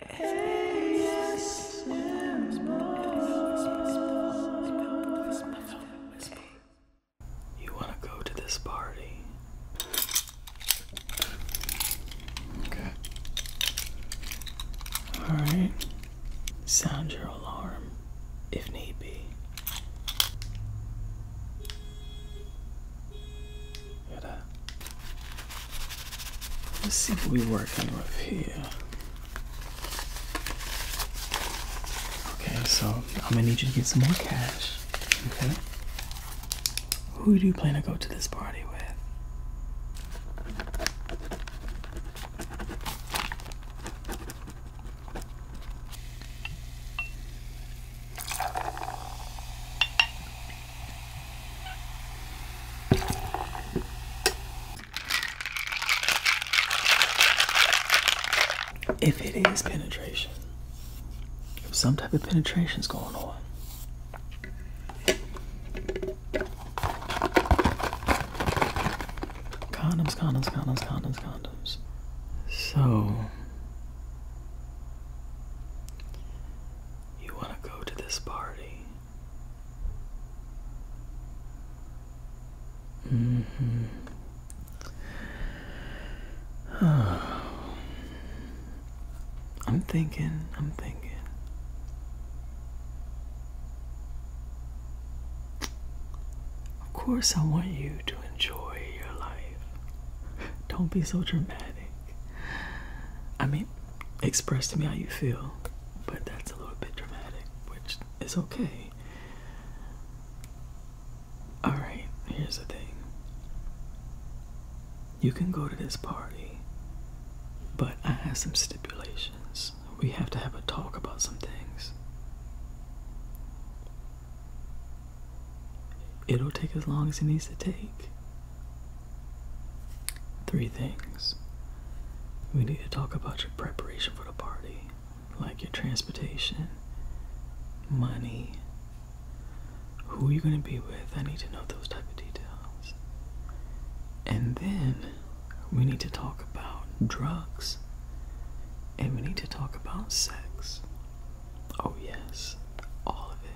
You want to go to this party? Okay. Alright. Sound your alarm if need be. Uh, let's see what we're working with here. Okay, so I'm gonna need you to get some more cash. Okay. Who do you plan to go to this party with? If it is penetration, if some type of penetration is going on. Condoms, condoms, condoms, condoms, condoms. So you want to go to this party? hmm. I'm thinking, I'm thinking. Of course, I want you to enjoy your life. Don't be so dramatic. I mean, express to me how you feel, but that's a little bit dramatic, which is okay. Alright, here's the thing you can go to this party, but I have some stipulations. We have to have a talk about some things. It'll take as long as it needs to take. Three things. We need to talk about your preparation for the party, like your transportation, money, who are you going to be with. I need to know those type of details. And then we need to talk about drugs and we need to talk about sex. Oh, yes, all of it.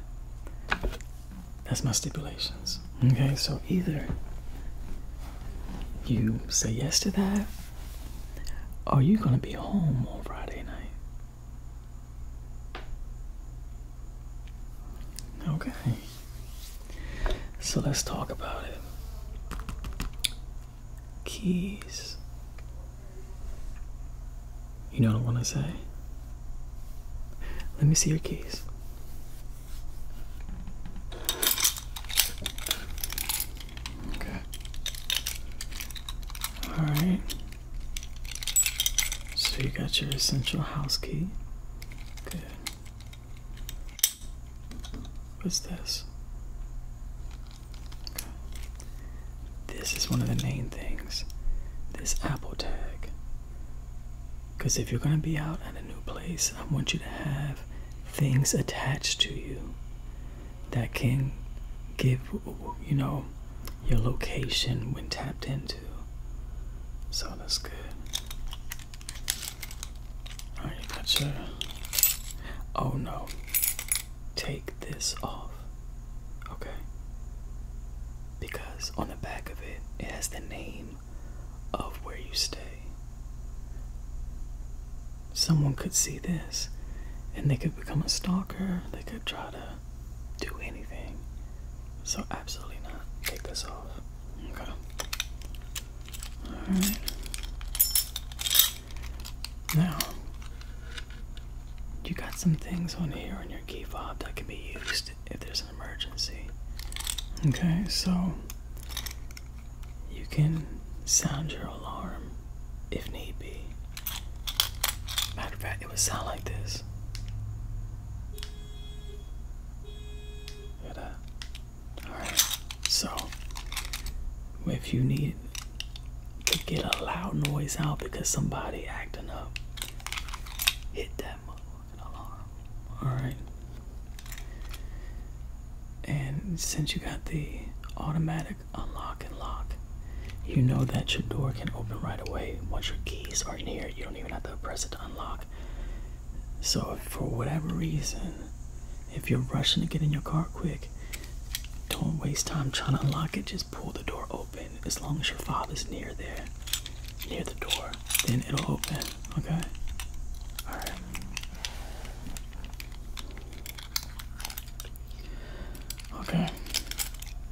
That's my stipulations. Okay, so either you say yes to that, or you're gonna be home on Friday night. Okay, so let's talk about it. Keys. You know what I want to say? Let me see your keys. Okay. Alright. So you got your essential house key. Good. What's this? This is one of the main things. This Apple tag. Because if you're going to be out at a new place, I want you to have things attached to you that can give, you know, your location when tapped into. So that's good. Alright, you got your. Oh no take this off. Okay? Because on the back of it, it has the name of where you stay. Someone could see this and they could become a stalker, they could try to do anything. So, absolutely not. Take this off. Okay. Alright. Now, you got some things on here on your key fob that can be used if there's an emergency. Okay, so you can sound your alarm if need be. Matter of fact, it would sound like this. Hear uh, that? Alright, so if you need to get a loud noise out because somebody acting up. Hit that alarm. Alright. And since you got the automatic unlock and lock, you know that your door can open right away once your keys are in here. You don't even have to press it to unlock. So, for whatever reason, if you're rushing to get in your car quick don't waste time trying to unlock it. Just pull the door open. As long as your father's near there, near the door, then it'll open. Okay? Alright. Okay.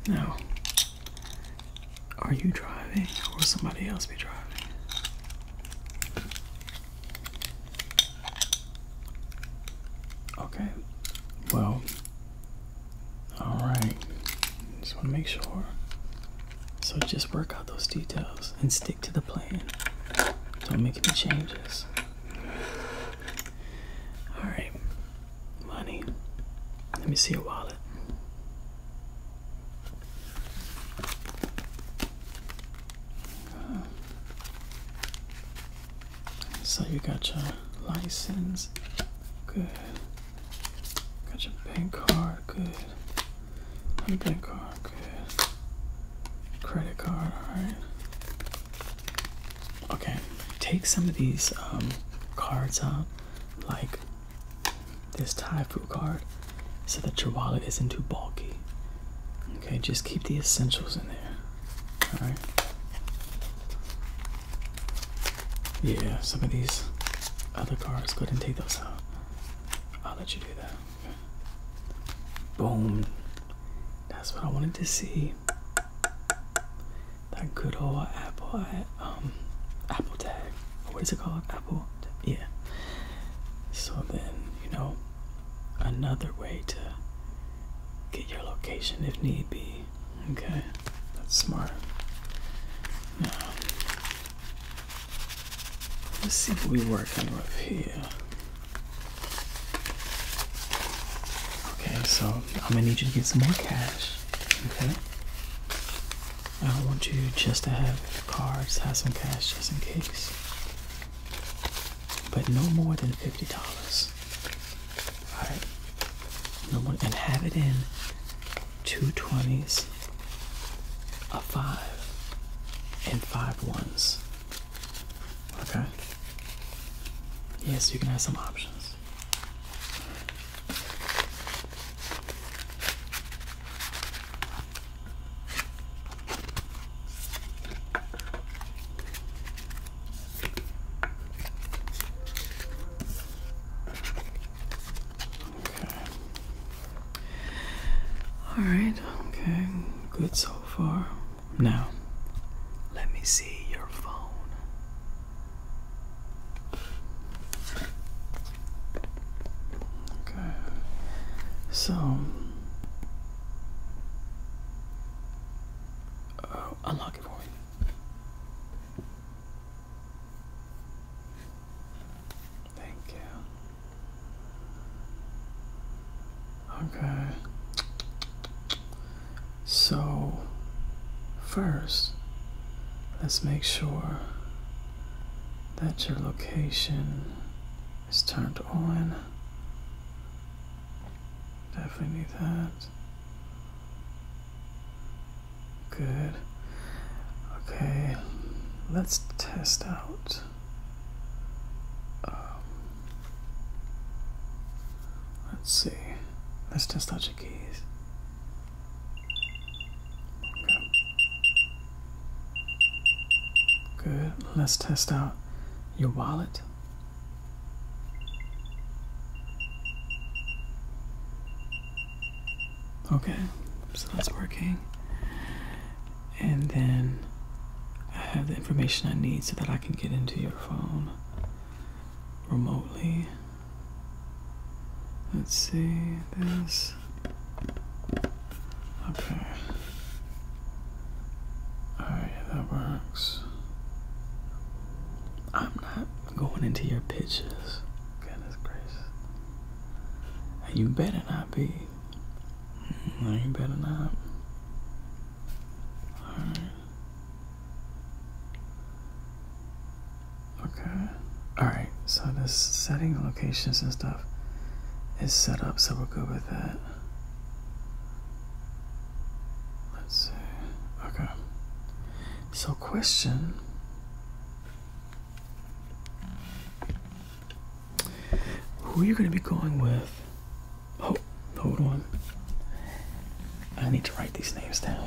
Now, are you driving or will somebody else be driving? Okay. Well. All right. Just want to make sure. So just work out those details and stick to the plan. Don't make any changes. All right. Money. Let me see your wallet. So you got your license, good. Got your bank card, good. Another bank card, good. Credit card, alright. Okay, take some of these um, cards out, like this Thai food card, so that your wallet isn't too bulky. Okay, just keep the essentials in there. Yeah, some of these other cars. go ahead and take those out. I'll let you do that. Boom. That's what I wanted to see. That good old Apple, um, Apple tag. What is it called? Apple. Yeah. So then, you know, another way to get your location if need be. Okay, that's smart. Now, let's see what we're working with here. Okay, so I'm gonna need you to get some more cash. Okay. I want you just to have cards, have some cash just in case but no more than fifty dollars. Alright. No more and have it in two twenties, a five, and five ones. Okay. Yes, you can have some options. All right, okay, good so far. Now, let me see your phone. Okay, so uh, unlock it for me. Thank you. Okay. So, first, let's make sure that your location is turned on. Definitely that. Good. Okay, let's test out. Um, let's see. Let's test out your keys. Good. Let's test out your wallet. Okay, so that's working. And then I have the information I need so that I can get into your phone remotely. Let's see this. Okay. Alright, that works. I'm not going into your pitches. Goodness gracious. You better not be. Hmm, no, you better not. Alright. Okay. Alright so the setting locations and stuff is set up, so we're good with that. Let's see. Okay. So question. Who are you going to be going with? Oh, hold on. I need to write these names down.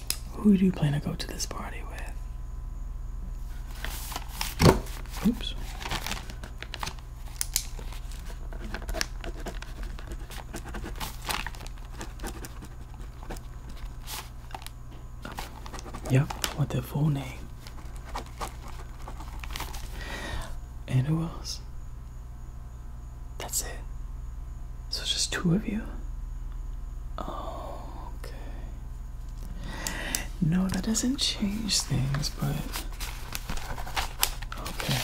Who do you plan to go to this party with? Oops. Yep, What the their full name. And who else? That's it. So just two of you? Oh, okay. No, that doesn't change things, but okay.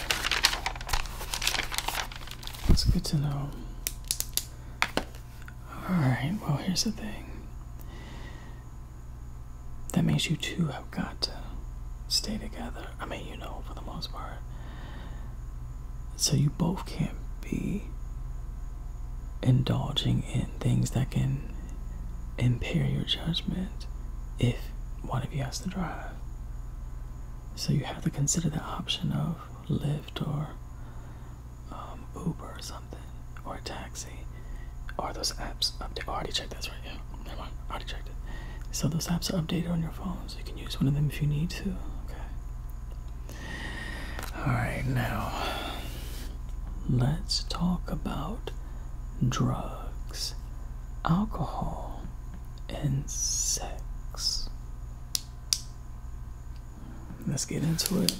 It's good to know. Alright, well, here's the thing. That means you two have got to stay together. I mean, you know, for the most part. So you both can't be indulging in things that can impair your judgment if one of you has to drive. So you have to consider the option of Lyft or um, Uber or something, or a taxi, or those apps update. Oh, already checked that's right. Yeah, never mind. I already checked it. So those apps are updated on your phone, so you can use one of them if you need to. Okay. Alright, now let's talk about drugs, alcohol, and sex. Let's get into it.